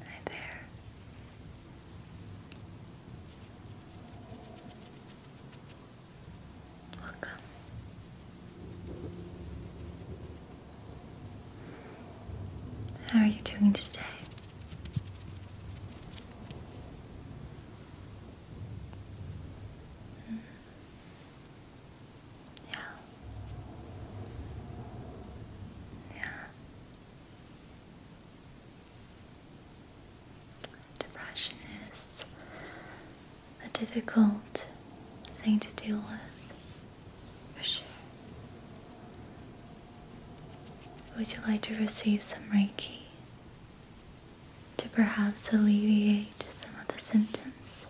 Hi there. Welcome. How are you doing today? Yeah. Yeah. Depression is a difficult thing to deal with, for sure. Would you like to receive some Reiki to perhaps alleviate some of the symptoms.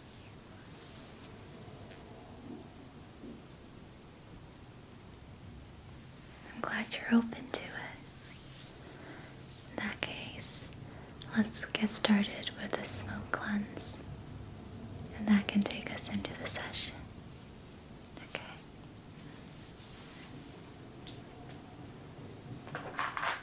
I'm glad you're open to it. In that case, let's get started with a smoke cleanse, and that can take us into the session. Okay.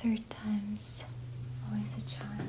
Third time's always a charm.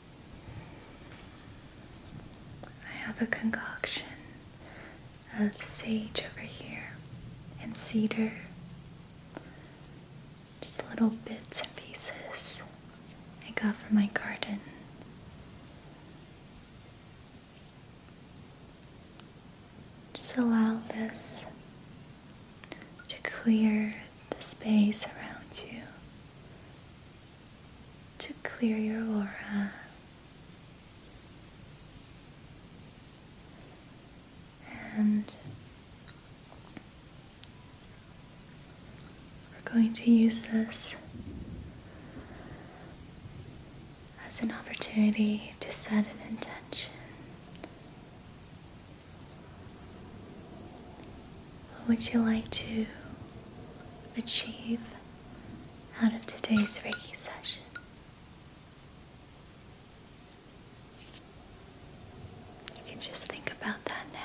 I have a concoction of sage over here and cedar. Just little bits and pieces I got from my garden. Just allow this to clear the space around you to clear your aura and we're going to use this as an opportunity to set an intention. What would you like to achieve out of today's Reiki session. You can just think about that now.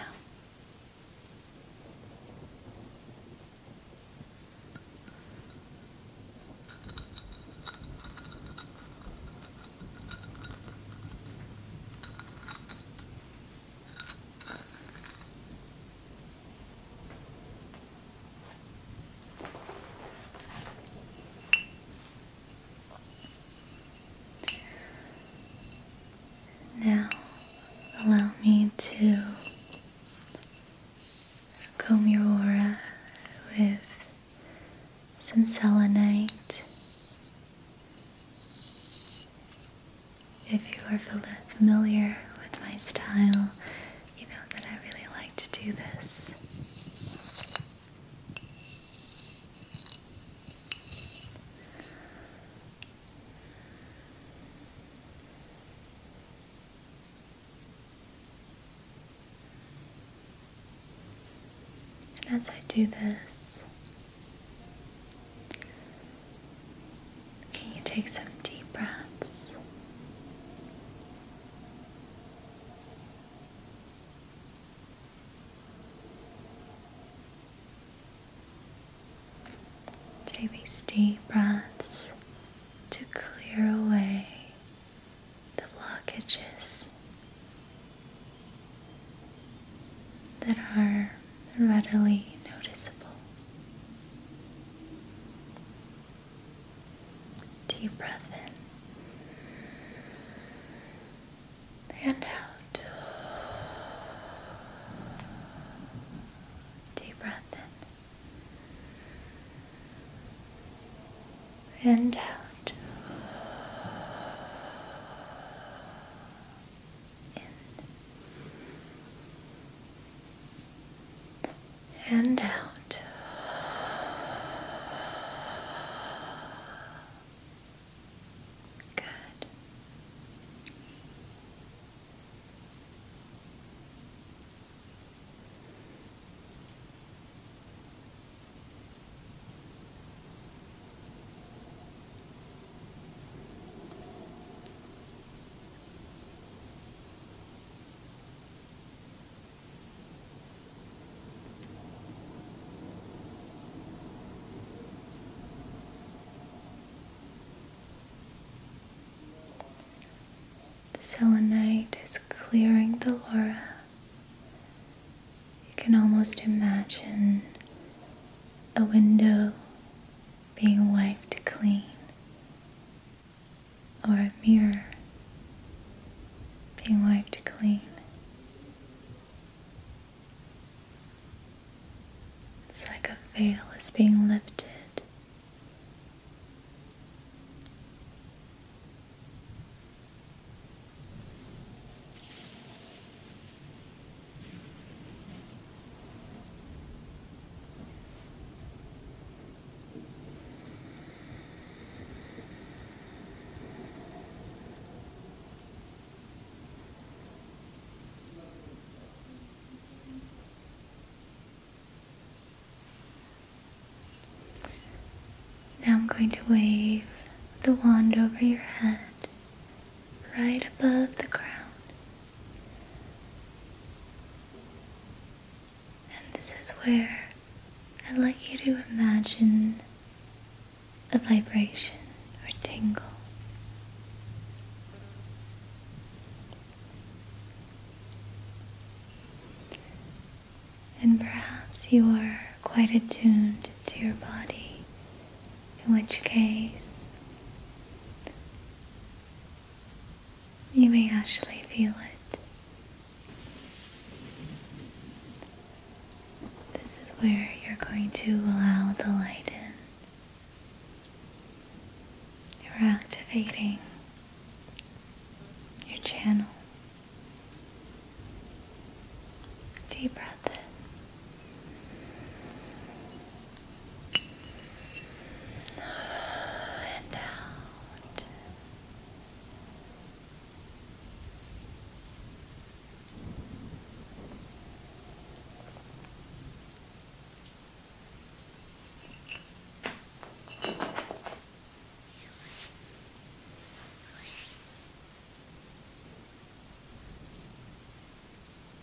Now, allow me to comb your aura with some selenite. If you are familiar with my style, you know that I really like to do this. And as I do this, can you take some deep breaths? Take these deep breaths to clear away the blockages that are readily noticeable. Deep breath in and out. Deep breath in and out in and out. Good. The selenite is clearing the aura. You can almost imagine a window being wiped clean, or a mirror being wiped clean. It's like a veil is being lifted. Now I'm going to wave the wand over your head right above the crown. And this is where I'd like you to imagine a vibration or tingle. And perhaps you are quite attuned to your body, in which case you may actually feel it. This is where you're going to allow the light in. You're activating your channel. Deep breath in and out.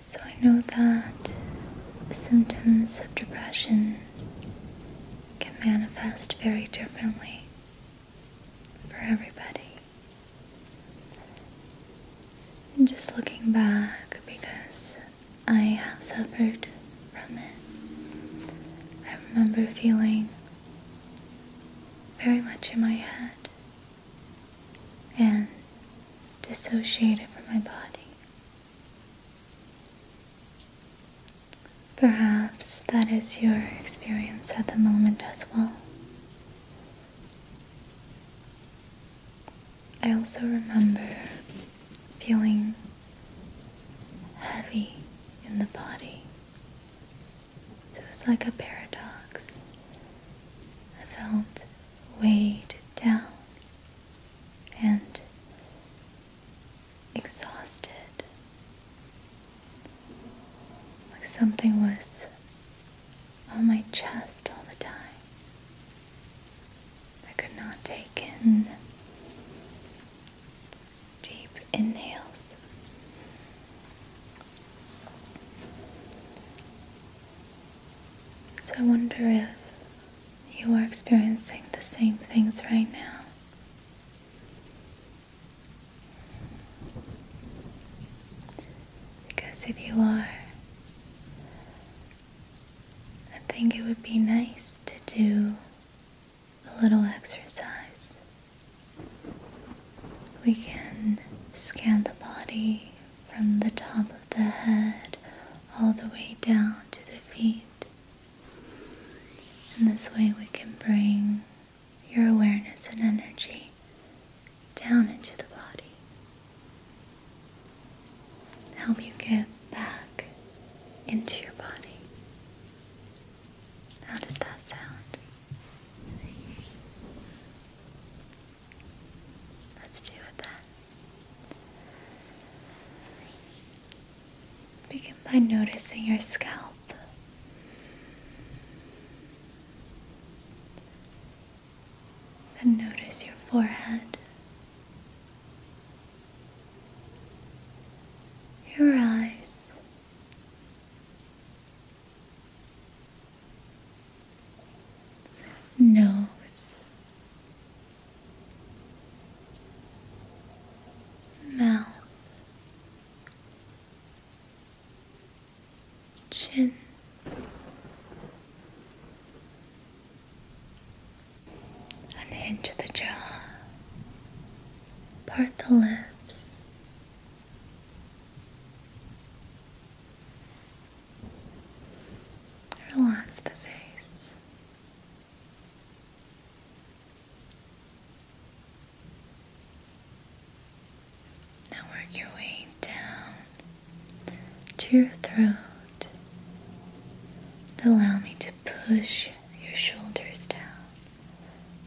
So, I know that symptoms of depression can manifest very differently for everybody. And just looking back, because I have suffered from it. I remember feeling very much in my head and dissociated from my body. Perhaps that is your experience at the moment as well. I also remember feeling heavy in the body. So it was like a paradox. I felt weighed down and exhausted. Like something was on my chest all the time. I could not take in deep inhales. So I wonder if you are experiencing the same things right now. Because if you are, I think it would be nice to do a little exercise. We can scan the body from the top of the head all the way down to the feet. In this way we can bring your awareness and energy down into the body help you get back into your body. How does that sound? Let's do it then. Begin by noticing your scalp. Then notice your forehead, your eyes. Nose, mouth, chin, Unhinge the jaw, part the lips, relax the face. Now work your way down to your throat. Allow me to push your shoulders down.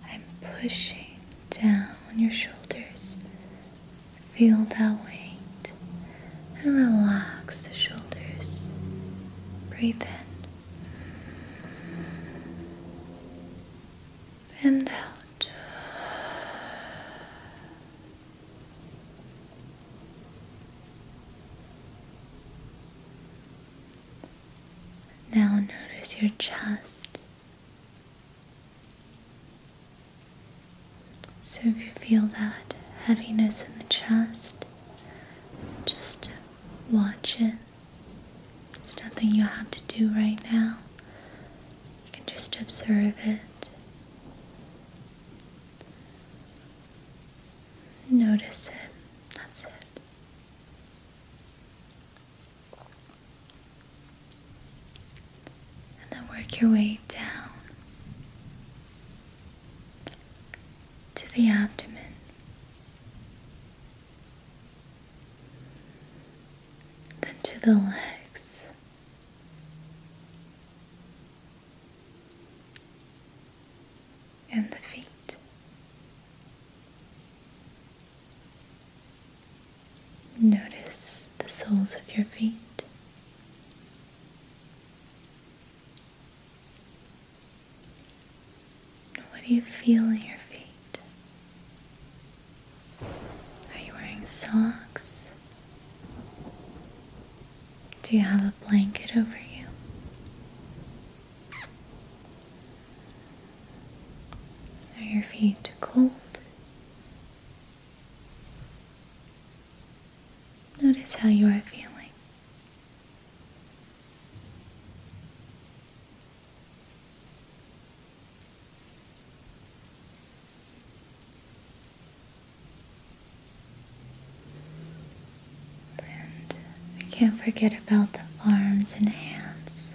I'm pushing down your shoulders. Feel that weight and relax the shoulders. Breathe in and out. Now notice your chest. So if you feel that heaviness in the chest, just watch it. It's nothing you have to do right now. You can just observe it. Notice it. That's it. And then work your way down to the abdomen. Then to the legs and the feet. Notice the soles of your feet. What do you feel in your feet? Are you wearing socks? Do you have a blanket over you? Are your feet cold? Notice how you are feeling. And we can't forget about the arms and hands.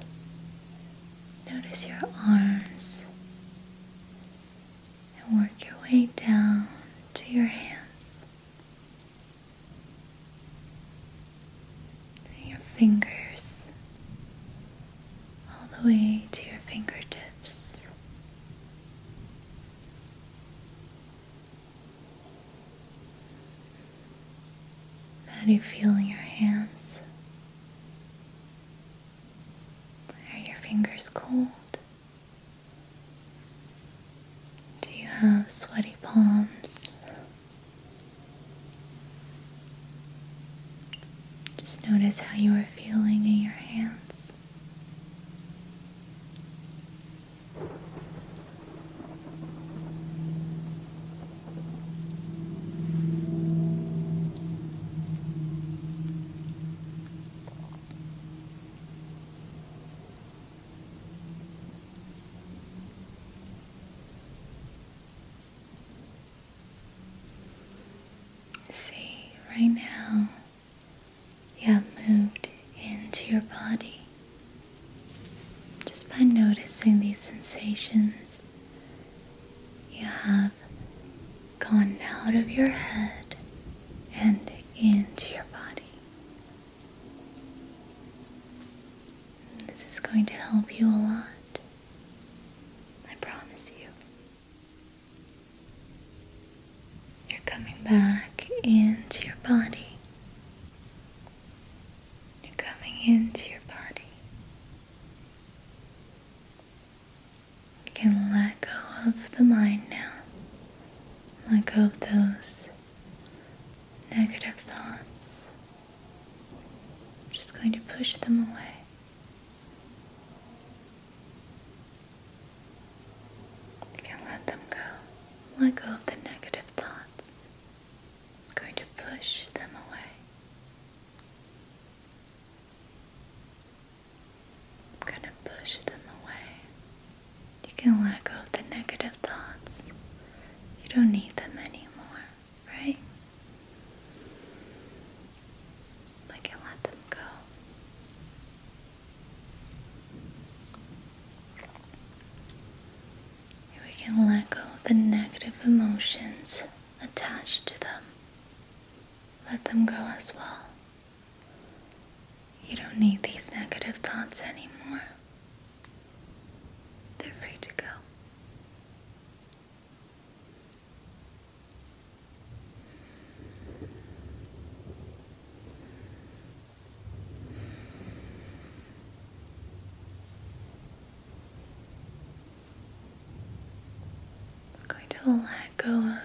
Notice your arms and work your way down to your hands and your fingers, all the way to your fingertips. How do you feel in your hands? Are your fingers cold? Do you have sweaty palms? Just notice how you are feeling in your hands. See, right now you have moved into your body just by noticing these sensations. You have gone out of your head and into your body. This is going to help you a lot. I promise you. You're coming back into your body. You're coming into your body. You can let go of the mind now. Let go of those negative thoughts. I'm just going to push them away. You can let them go. Let go of the negative thoughts. I'm going to push them away. I'm going to push them away. You can let go of the negative thoughts. You don't need them anymore, right? I can let them go. We can let go of the negative emotions attached to them. Let them go as well. You don't need these negative thoughts anymore. They're free to go. I'm going to let go of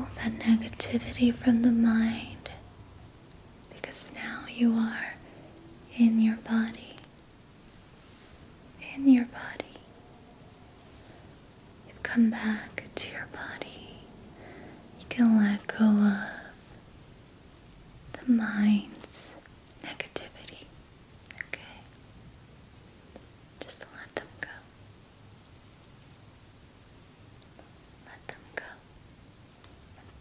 all that negativity from the mind because now you are in your body, in your body you come back to your body. You can let go of the mind's negativity. Okay? Just let them go. Let them go.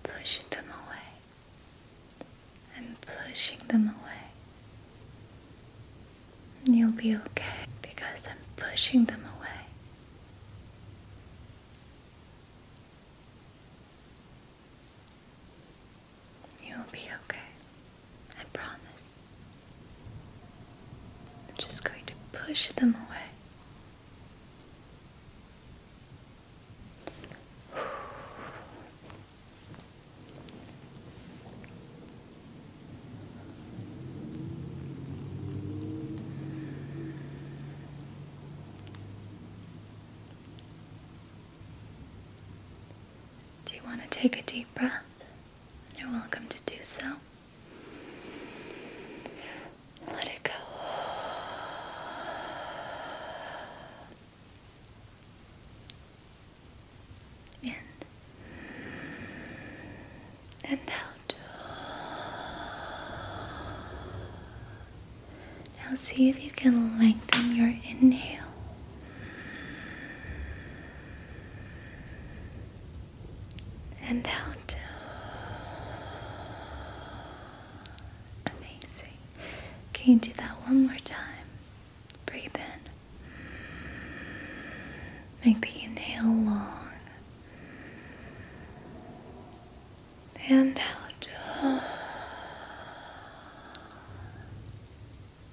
pushing them away. I'm pushing them away. You'll be okay because I'm pushing them away. You'll be okay. I promise. I'm just going to push them away. Do you want to take a deep breath? You're welcome to do so. Let it go in and out. Now, see if you can lengthen your inhale. And out. Amazing. Can you do that one more time? Breathe in. Make the inhale long and out.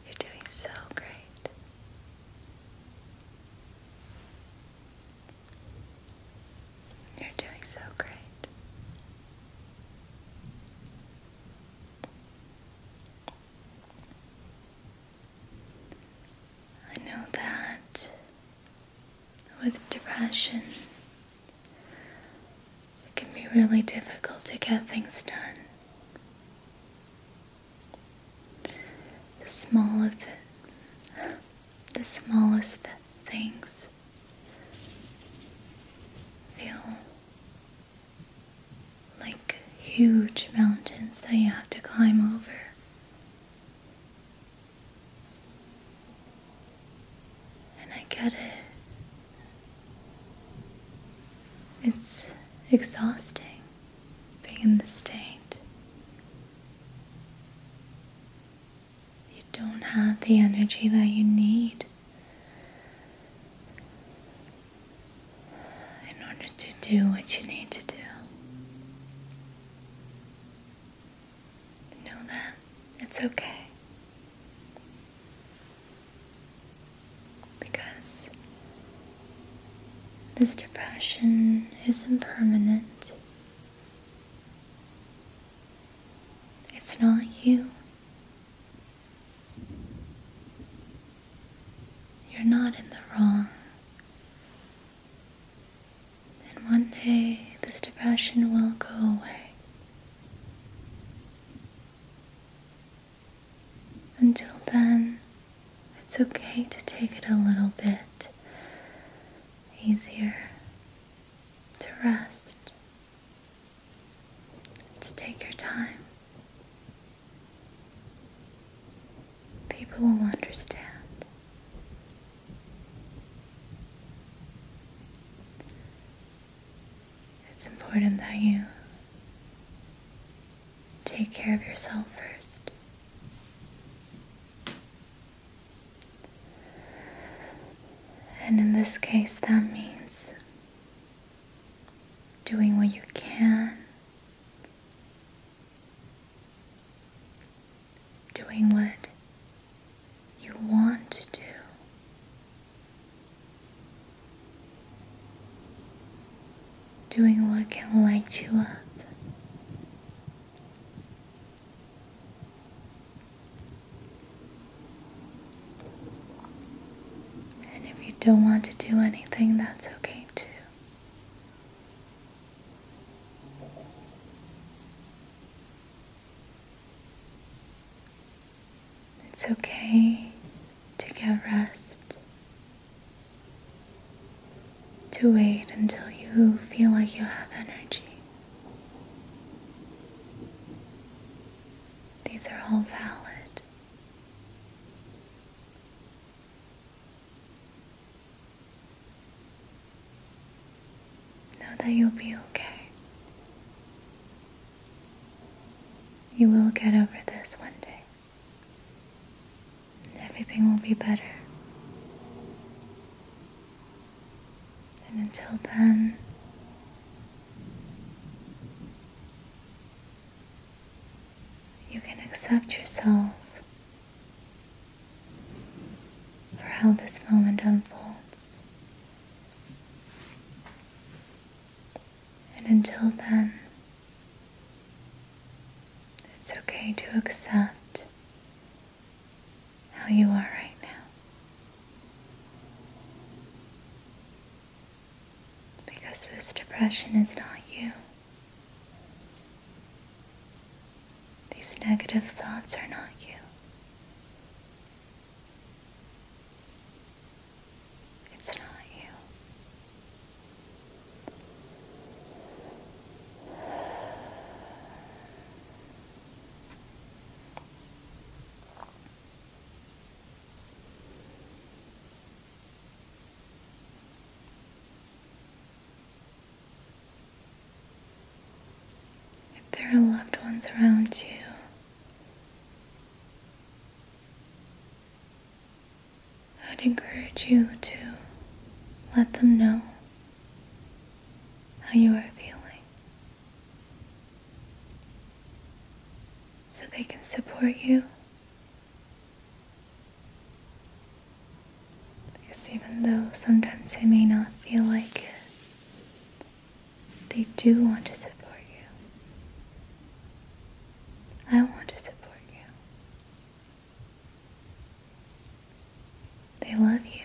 You're doing so great. You're doing so great. I know that with depression, it can be really difficult to get things done. The small the smallest things feel like huge mountains that you have to climb over. And I get it. It's exhausting being in this state. You don't have the energy that you need in order to do what you need to do. Know that it's okay. Because this depression is impermanent. It's not you. You're not in the wrong. And one day this depression will go away. Until then, it's okay to take it a little bit easier, to rest, to take your time. People will understand. It's important that you take care of yourself first. And in this case, that means doing what you can doing what you want to do. Doing what can light you up. And if you don't want to do anything, that's okay too. It's okay to get rest, to wait until you feel like you have energy. These are all valid. Know that you'll be okay. You will get over this one day. Everything will be better. And until then, you can accept yourself for how this moment unfolds. And until then, it's okay to accept how you are right now. Because this depression is not you. These negative thoughts are not you. It's not you. If there are loved ones around you, I'd encourage you to let them know how you are feeling so they can support you because even though sometimes they may not feel like it, they do want to support you. I want to support you. They love you.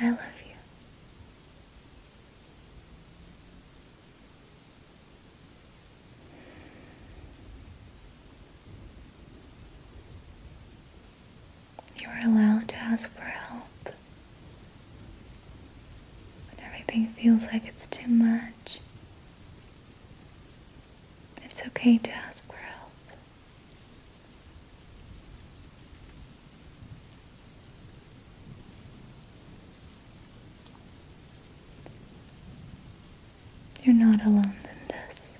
I love you. You are allowed to ask for help when everything feels like it's too much. It's okay to ask for help. You're not alone in this.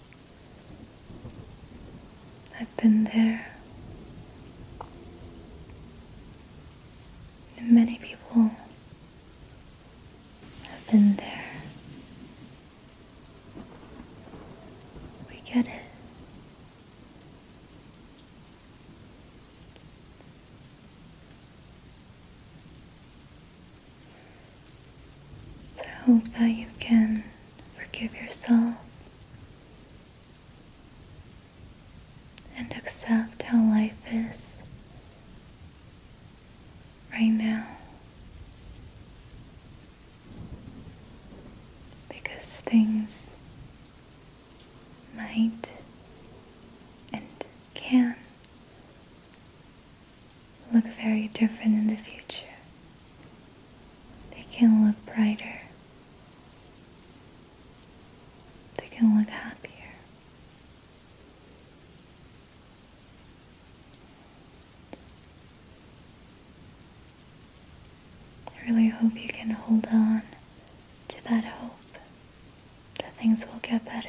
I've been there. many people have been there. We get it. So I hope that you can forgive yourself and accept how life is right now. Because things might and can look very different in the future. They can look brighter. They can look happier. I really hope you can hold on to that hope that things will get better.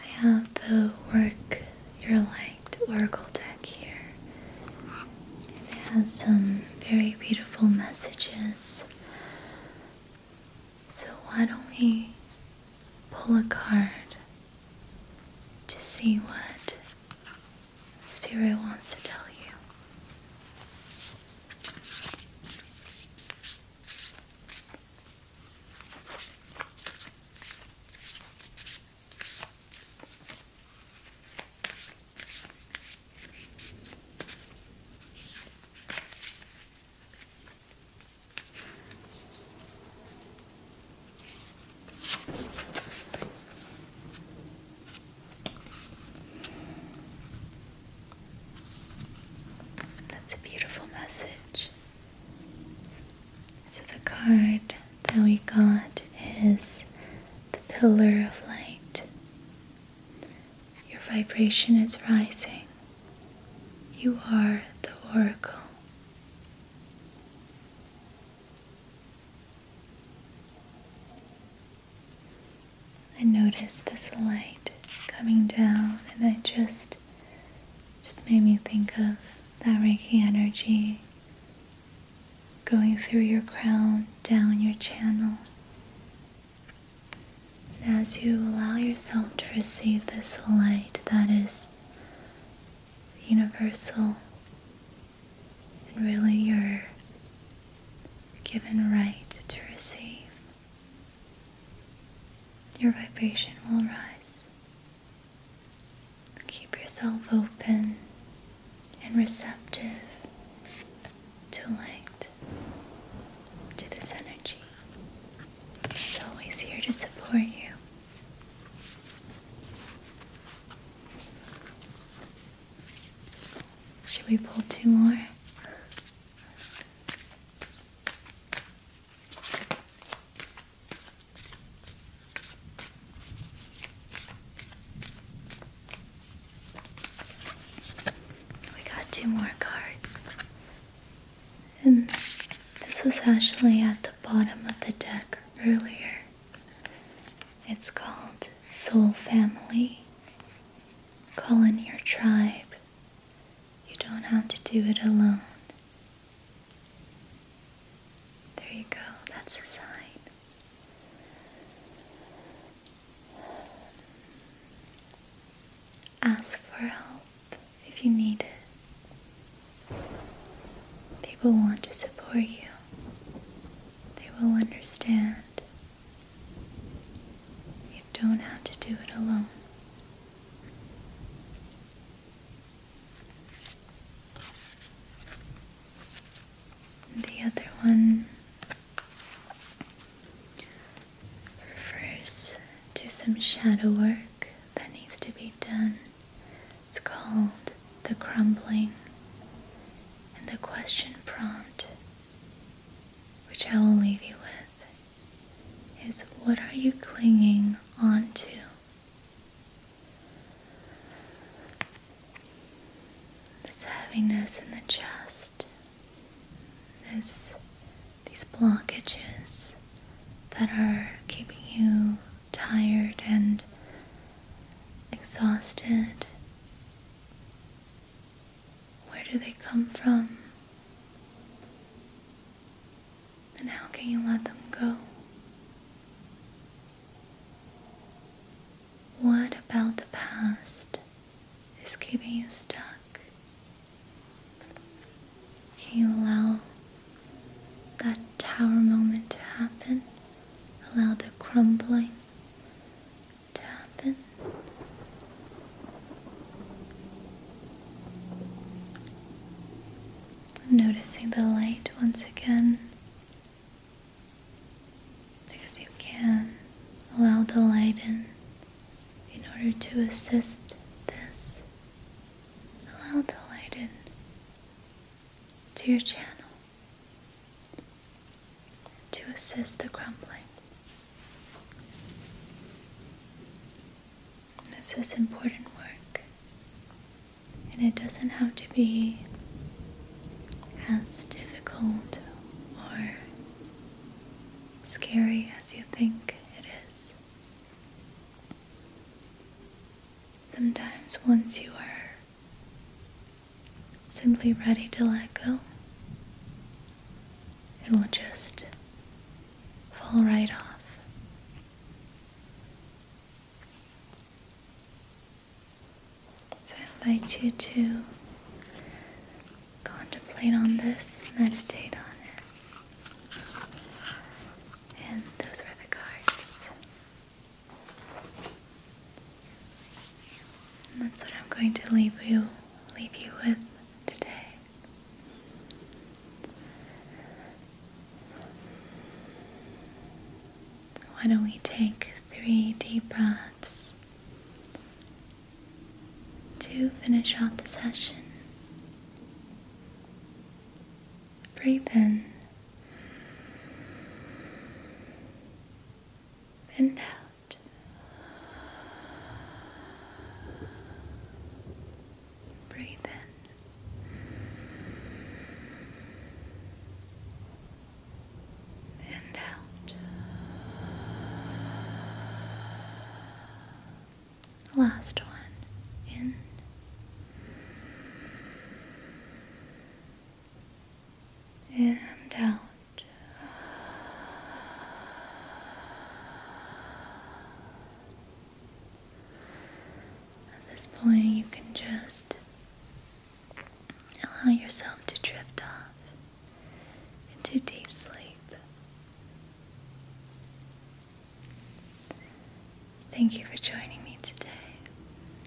I have the Work Your Light Oracle deck here. It has some very beautiful messages so, why don't we pull a card to see what Spirit wants to tell you? That's a beautiful message. So, the card that we got is the Pillar of Light. Your vibration is rising. You are the oracle. I noticed this light coming down and it just just made me think of that Reiki energy going through your crown, down your channel, as you allow yourself to receive this light that is universal and really your given right to receive, your vibration will rise. Keep yourself open and receptive to light, to this energy. It's always here to support you. Should we pull two more? We got two more cards. And this was actually at the bottom of the deck earlier. It's called Soul Family. Call in your tribe. You don't have to do it alone. There you go, that's a sign. Ask for help if you need it. People want to support you, they will understand. You don't have to do it alone. The other one Refers to some shadow work that needs to be done. It's called the crumbling. And the question prompt, which I will leave you with, is what are you clinging on to? This heaviness in the chest, these blockages that are keeping you tired and exhausted where do they come from and how can you let them go what about the past is keeping you stuck? Can you allow that tower moment to happen? Allow the crumbling to happen? Noticing the light once again because you can allow the light in in order to assist this, allow the light in to your channel to assist the crumbling. This is important work, and it doesn't have to be as difficult or scary as you think it is. Sometimes, once you are simply ready to let go, it will just fall right off. So I invite you to contemplate on this, meditate on it. And those were the cards. that's what I'm going to leave you leave you with today. Why don't we take three deep breaths to finish out the session. Breathe in and out. Breathe in and out. Last one in. And out. At this point, you can just allow yourself to drift off into deep sleep. Thank you for joining me today.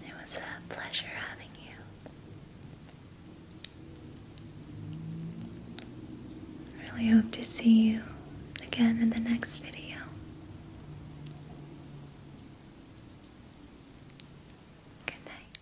It was a pleasure having you. I really hope to see you again in the next video. Good night.